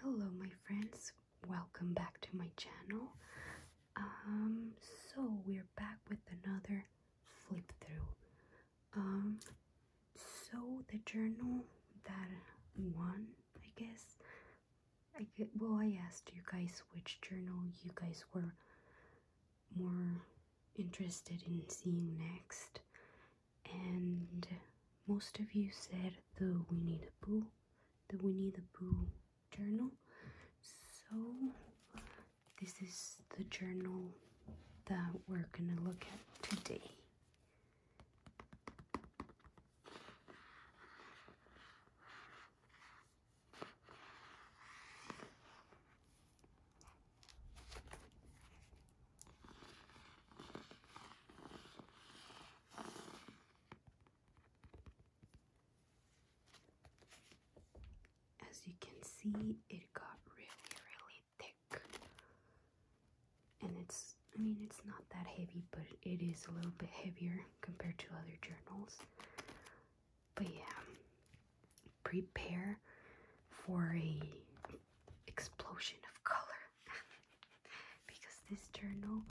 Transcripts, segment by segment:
Hello, my friends, welcome back to my channel. Um, so we're back with another flip through. Um, so the journal that won, I guess, I well, I asked you guys which journal you guys were more interested in seeing next, and most of you said the Winnie the Pooh, the Winnie the Pooh journal. So this is the journal that we're gonna look at today. As you can see, it got really, really thick. And it's, I mean, it's not that heavy, but it is a little bit heavier compared to other journals. But yeah, prepare for a explosion of color because this journal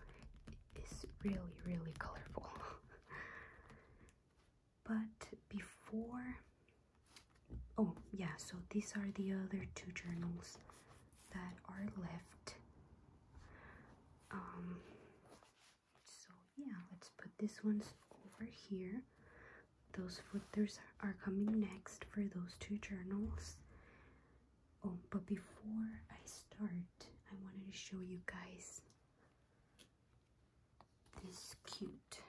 is really, really colorful. but before, oh, yeah, so these are the other two journals that are left. Um, so yeah, let's put this ones over here. Those footers are coming next for those two journals. Oh, but before I start, I wanted to show you guys this cute.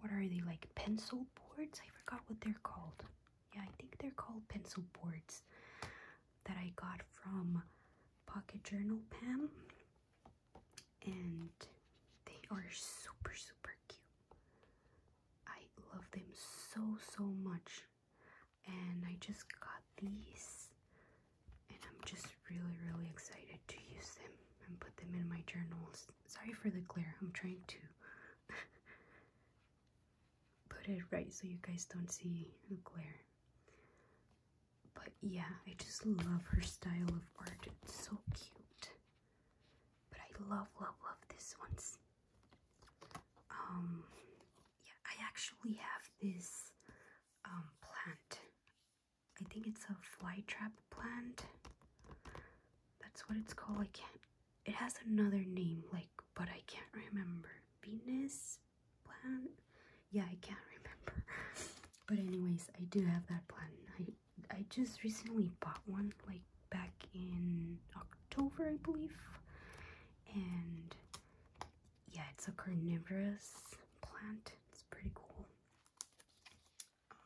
What are they like? Pencil boards? I forgot what they're called. Yeah, I think they're called pencil boards that I got from Pocket Journal Pam. And they are super, super cute. I love them so so much and I just got these and I'm just really really excited to use them and put them in my journals. Sorry for the glare. I'm trying to put it right so you guys don't see the glare. But yeah, I just love her style of art. It's so cute. But I love love love this one's um, yeah, I actually have this um, plant. I think it's a flytrap plant. That's what it's called. I can't. It has another name, like, but I can't remember. Venus plant. Yeah, I can't remember. but anyways, I do have that plant. I I just recently bought one, like back in October, I believe. And yeah, it's a carnivorous plant. It's pretty cool.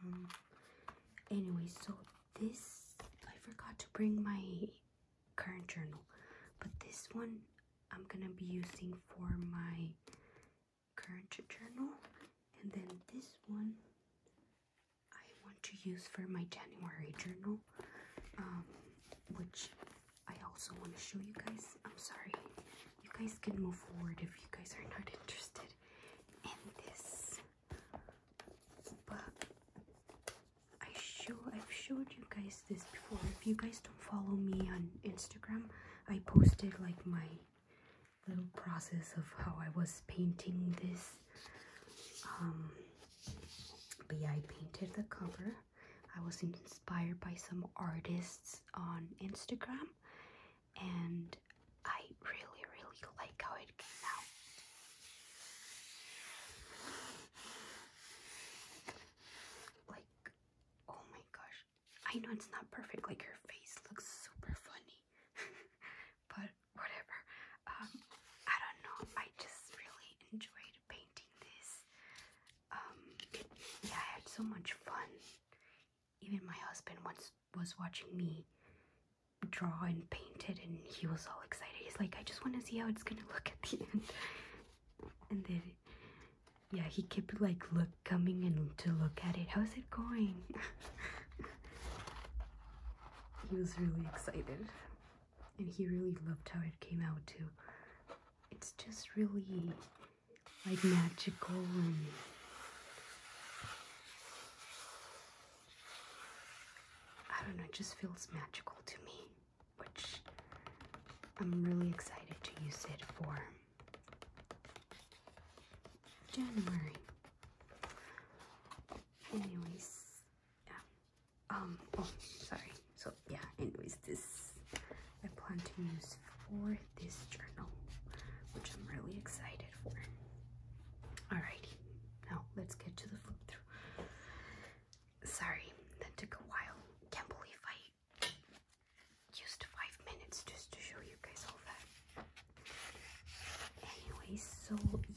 Um, anyway, so this, I forgot to bring my current journal, but this one I'm gonna be using for my current journal. And then this one I want to use for my January journal, um, which I also want to show you guys. I'm sorry, you guys can move forward if you guys are not interested in this. But I show I've showed you guys this before. If you guys don't follow me on Instagram, I posted like my little process of how I was painting this. Um, but I painted the cover. I was inspired by some artists on Instagram and I really, really like how it came out. Like, oh my gosh. I know it's not perfect, like her face looks super funny, but whatever. Um, I don't know. I just really enjoyed painting this. Um, yeah, I had so much fun. Even my husband once was watching me draw and paint it, and he was all excited. He's like, I just want to see how it's gonna look at the end. And then, yeah, he kept like look coming and to look at it. How's it going? he was really excited and he really loved how it came out too. It's just really like magical and I don't know, it just feels magical to me, which I'm really excited to use it for January. Anyways, yeah, um oh sorry so yeah anyways this i plan to use for this journal which i'm really excited for alrighty now let's get to the flip through sorry that took a while can't believe i used five minutes just to show you guys all that anyways so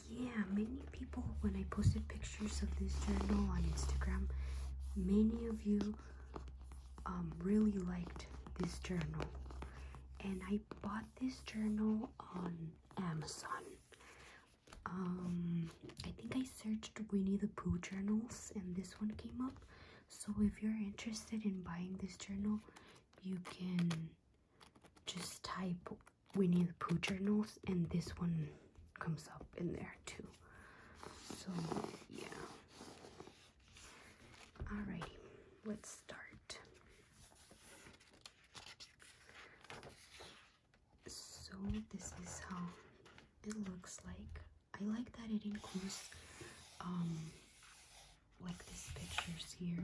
yeah, many people, when I posted pictures of this journal on Instagram, many of you um, really liked this journal. And I bought this journal on Amazon. Um, I think I searched Winnie the Pooh journals and this one came up. So if you're interested in buying this journal, you can just type we need poo journals and this one comes up in there too so yeah alrighty let's start so this is how it looks like I like that it includes um like these pictures here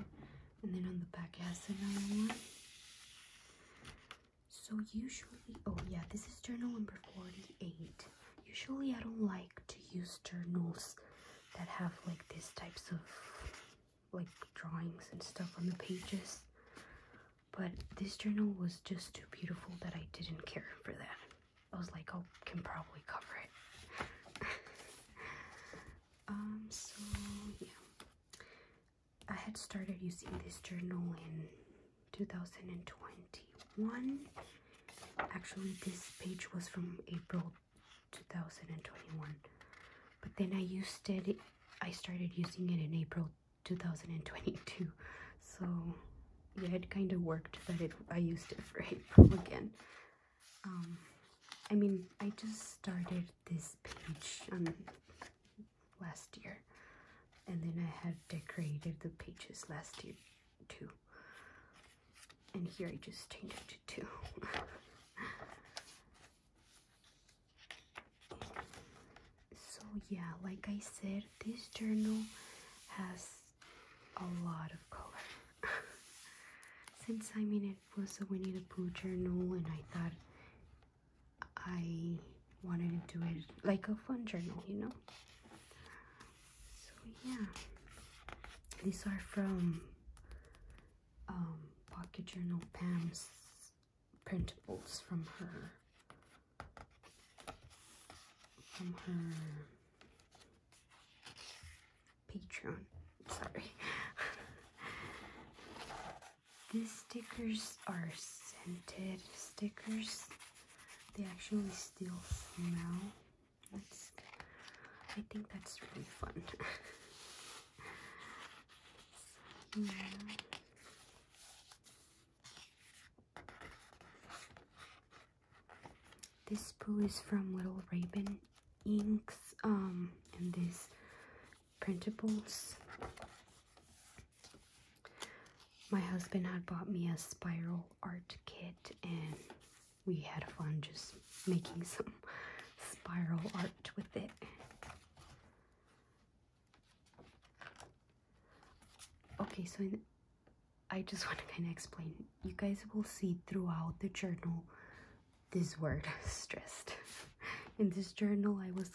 and then on the back has another one so usually, oh yeah, this is journal number 48. Usually I don't like to use journals that have like these types of like drawings and stuff on the pages. But this journal was just too beautiful that I didn't care for that. I was like, oh, can probably cover it. um, so yeah. I had started using this journal in 2021. Actually, this page was from April 2021, but then I used it, I started using it in April 2022. So, yeah, it kind of worked that I used it for April again. Um, I mean, I just started this page um, last year and then I had decorated the pages last year too and here I just changed it to two so yeah like I said this journal has a lot of color since I mean it was a Winnie the Pooh journal and I thought I wanted to do it like a fun journal, you know. So yeah, these are from um, Pocket Journal Pam's printables from her from her Patreon. Sorry. These stickers are scented stickers. They actually still smell. That's, I think that's really fun. yeah. This poo is from Little Raven Inks, um, and this printables. My husband had bought me a spiral art kit and we had fun just making some spiral art with it. Okay, so I just want to kind of explain. You guys will see throughout the journal this word, stressed. In this journal, I was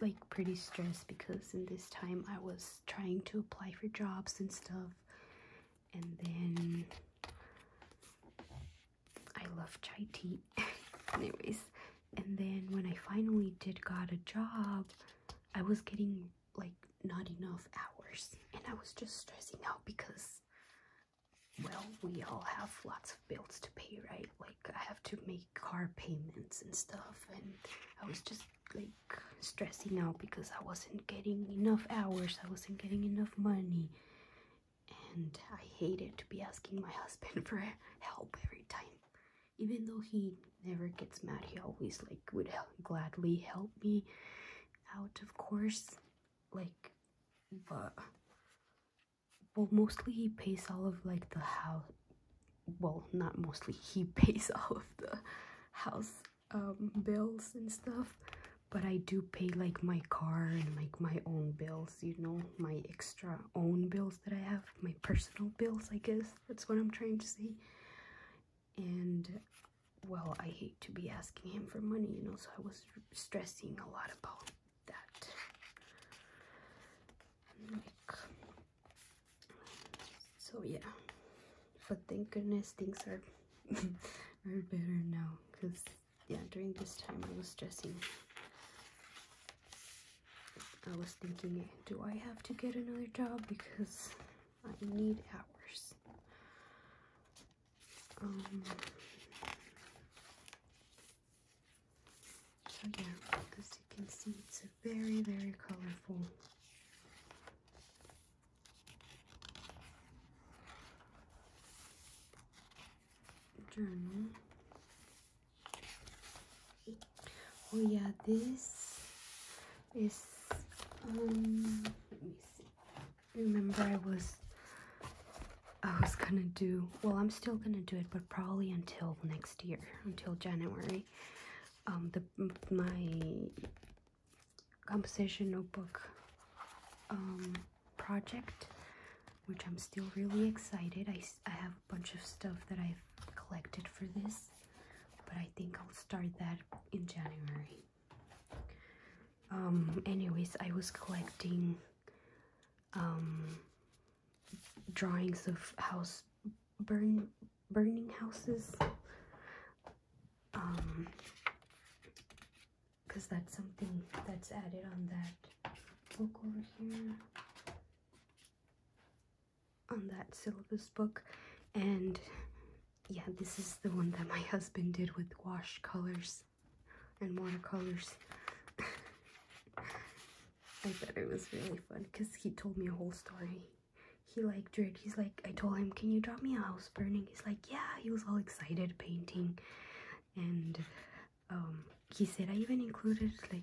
like pretty stressed because in this time I was trying to apply for jobs and stuff and then I love chai tea anyways and then when I finally did got a job I was getting like not enough hours and I was just stressing out because well we all have lots of bills to pay right like I have to make car payments and stuff and I was just like stressing out because I wasn't getting enough hours, I wasn't getting enough money and I hated to be asking my husband for help every time. Even though he never gets mad, he always like would gladly help me out of course like but well mostly he pays all of like the house well not mostly he pays all of the house um, bills and stuff but i do pay like my car and like my own bills you know my extra own bills that i have my personal bills i guess that's what i'm trying to say and well i hate to be asking him for money you know so i was stressing a lot about that so yeah but thank goodness things are are better now because yeah during this time i was stressing i was thinking do i have to get another job because i need hours um, so yeah, as you can see it's very, very colorful. Journal. Oh yeah, this is um let me see. Remember I was I was gonna do well I'm still gonna do it but probably until next year until January my um, the my composition notebook um, project which i'm still really excited i i have a bunch of stuff that i've collected for this but i think i'll start that in january um, anyways i was collecting drawings of house burn burning houses um because that's something that's added on that book over here on that syllabus book and yeah this is the one that my husband did with wash colors and watercolors I thought it was really fun because he told me a whole story. He liked drew it. He's like, I told him, can you draw me a house burning? He's like, yeah. He was all excited painting, and um, he said I even included like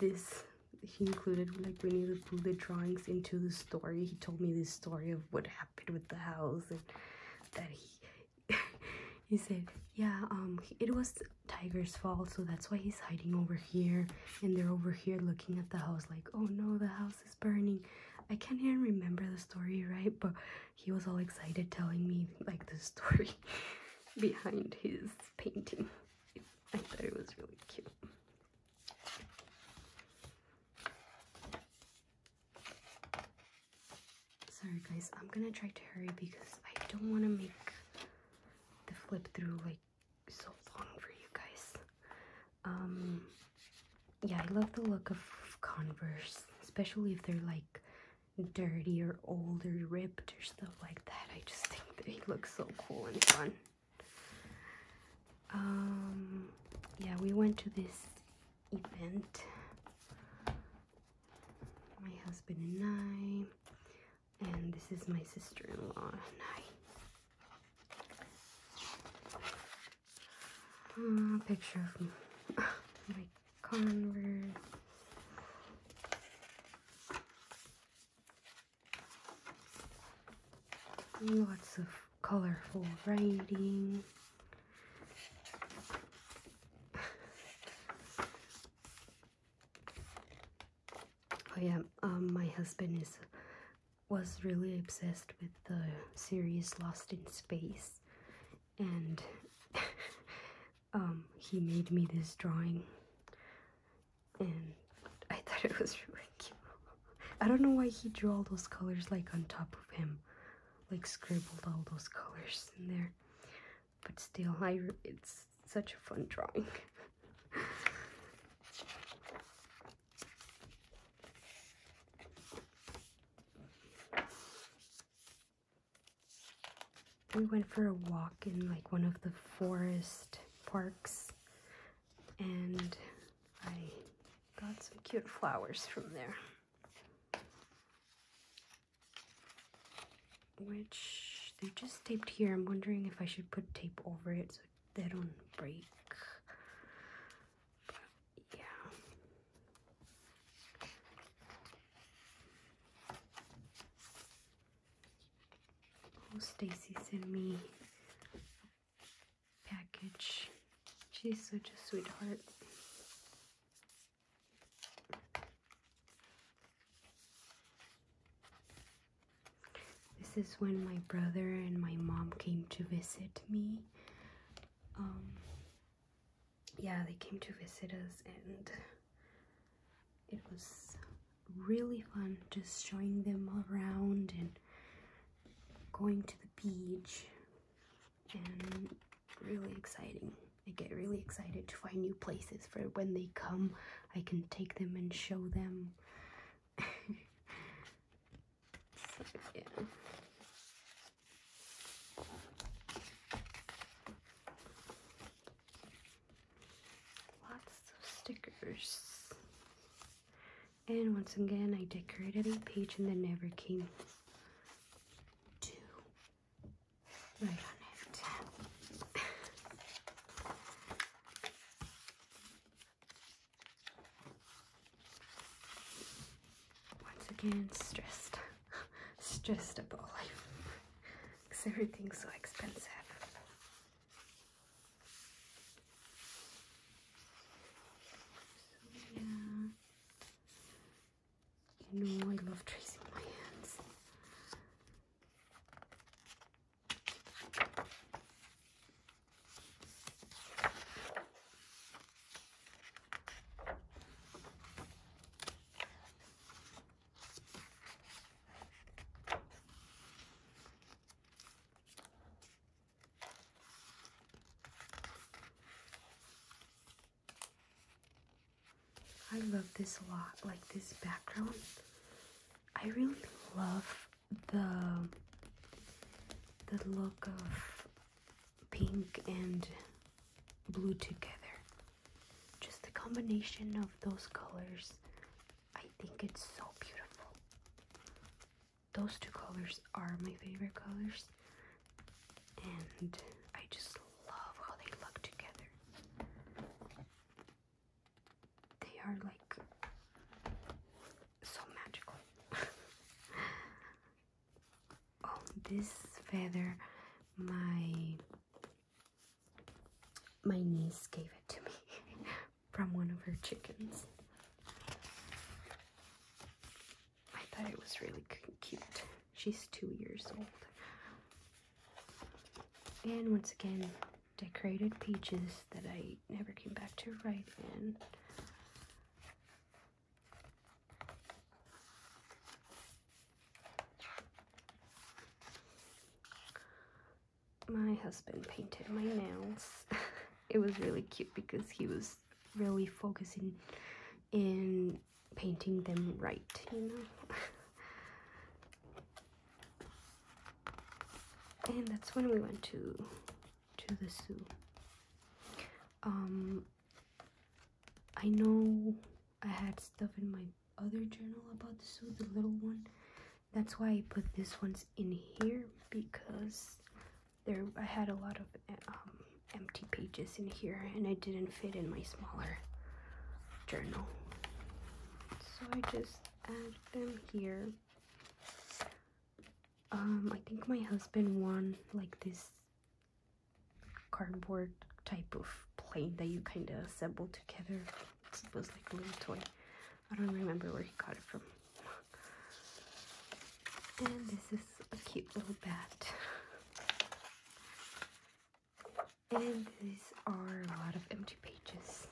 this. He included like Winnie the Pooh the drawings into the story. He told me the story of what happened with the house and that he he said, yeah, um, it was tigers fall so that's why he's hiding over here and they're over here looking at the house like oh no the house is burning i can't even remember the story right but he was all excited telling me like the story behind his painting i thought it was really cute sorry guys i'm gonna try to hurry because i don't want to make the flip through like so long for you guys. Um, yeah, I love the look of Converse, especially if they're like dirty or old or ripped or stuff like that. I just think they look so cool and fun. Um, yeah, we went to this event, my husband and I and this is my sister-in-law and ah, picture of my Converse. Lots of colorful writing. Oh yeah, um, my husband is was really obsessed with the series Lost in Space, and um, he made me this drawing, and I thought it was really cute. I don't know why he drew all those colors like on top of him, like scribbled all those colors in there. But still, I it's such a fun drawing. we went for a walk in like one of the forest parks and I got some cute flowers from there. Which they're just taped here. I'm wondering if I should put tape over it so they don't break yeah oh Stacy sent me package she's such a sweetheart this is when my brother and my mom came to visit me. Um, yeah, they came to visit us, and it was really fun just showing them around and going to the beach and really exciting. I get really excited to find new places for when they come. I can take them and show them yeah. Lots of stickers. And once again, I decorated a page and then never came to write on it. Once again, stressed, stressed about life because everything's so expensive. yeah, you know, I love tracing my hands. I love this a lot, like this background. I really love the the look of pink and blue together just the combination of those colors i think it's so beautiful those two colors are my favorite colors and i just love how they look together they are like so magical. oh, this feather, my my niece gave it to me from one of her chickens. I thought it was really cute. She's two years old. And once again, decorated peaches that I never came back to write in. My husband painted my nails. it was really cute because he was really focusing in painting them right, you know? and that's when we went to to the zoo um i know i had stuff in my other journal about the zoo the little one that's why i put this one's in here because there i had a lot of eh, um, empty pages in here and i didn't fit in my smaller journal so i just add them here um, I think my husband won like this cardboard type of plane that you kind of assemble together. It was like a little toy. I don't remember where he got it from. And this is a cute little bat. And these are a lot of empty pages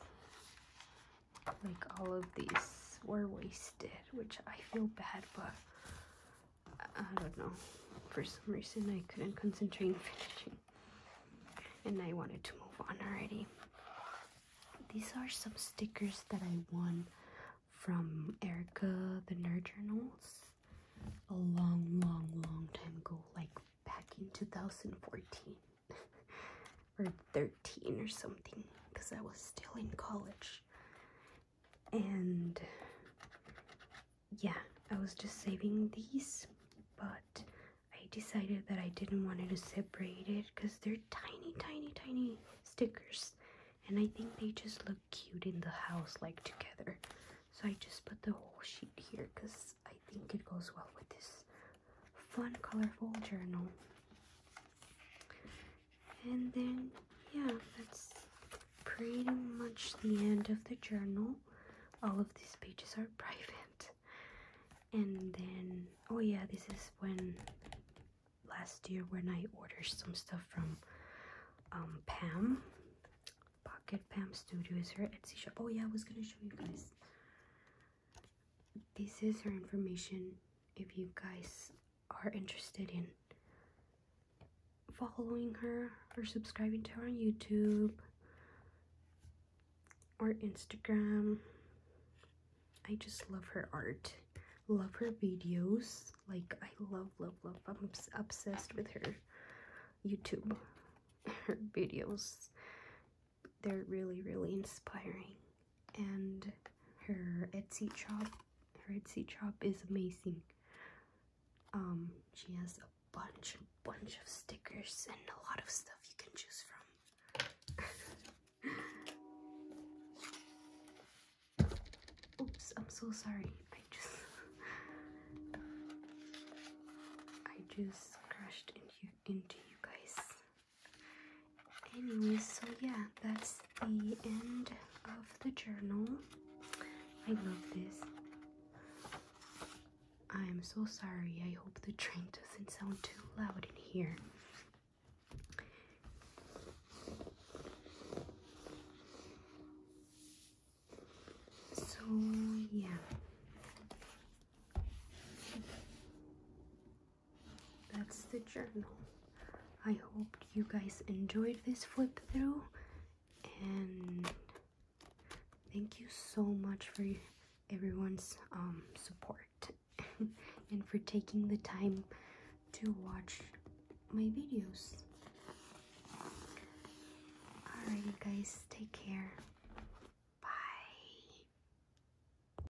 like all of these were wasted, which I feel bad, but I don't know. For some reason, I couldn't concentrate finishing, and I wanted to move on already. These are some stickers that I won from Erica the Nerd Journals a long, long, long time ago, like back in 2014. or 13 or something because I was still in college. And yeah, I was just saving these, but I decided that I didn't want to separate it because they're tiny, tiny, tiny stickers. And I think they just look cute in the house, like together. So I just put the whole sheet here because I think it goes well with this fun, colorful journal. And then, yeah, that's pretty much the end of the journal. All of these pages are private. And then, oh yeah, this is when last year when I ordered some stuff from um, Pam. Pocket Pam Studio is her Etsy shop. Oh yeah, I was gonna show you guys this is her information if you guys are interested in following her or subscribing to her on YouTube or Instagram. I just love her art. Love her videos. Like, I love, love, love. I'm obsessed with her YouTube, her videos they're really, really inspiring. And her Etsy shop, her Etsy shop is amazing. Um, she has a bunch, bunch of stickers and a lot of stuff you can choose from. Oops, I'm so sorry. I just, I just crashed into into you guys. Anyway, so yeah, that's the end of the journal. I love this. I'm so sorry. I hope the train doesn't sound too loud in here. So, yeah that's the journal. I hope you guys enjoyed this flip through and thank you so much for everyone's um, support and for taking the time to watch my videos. Alright guys, take care. Bye.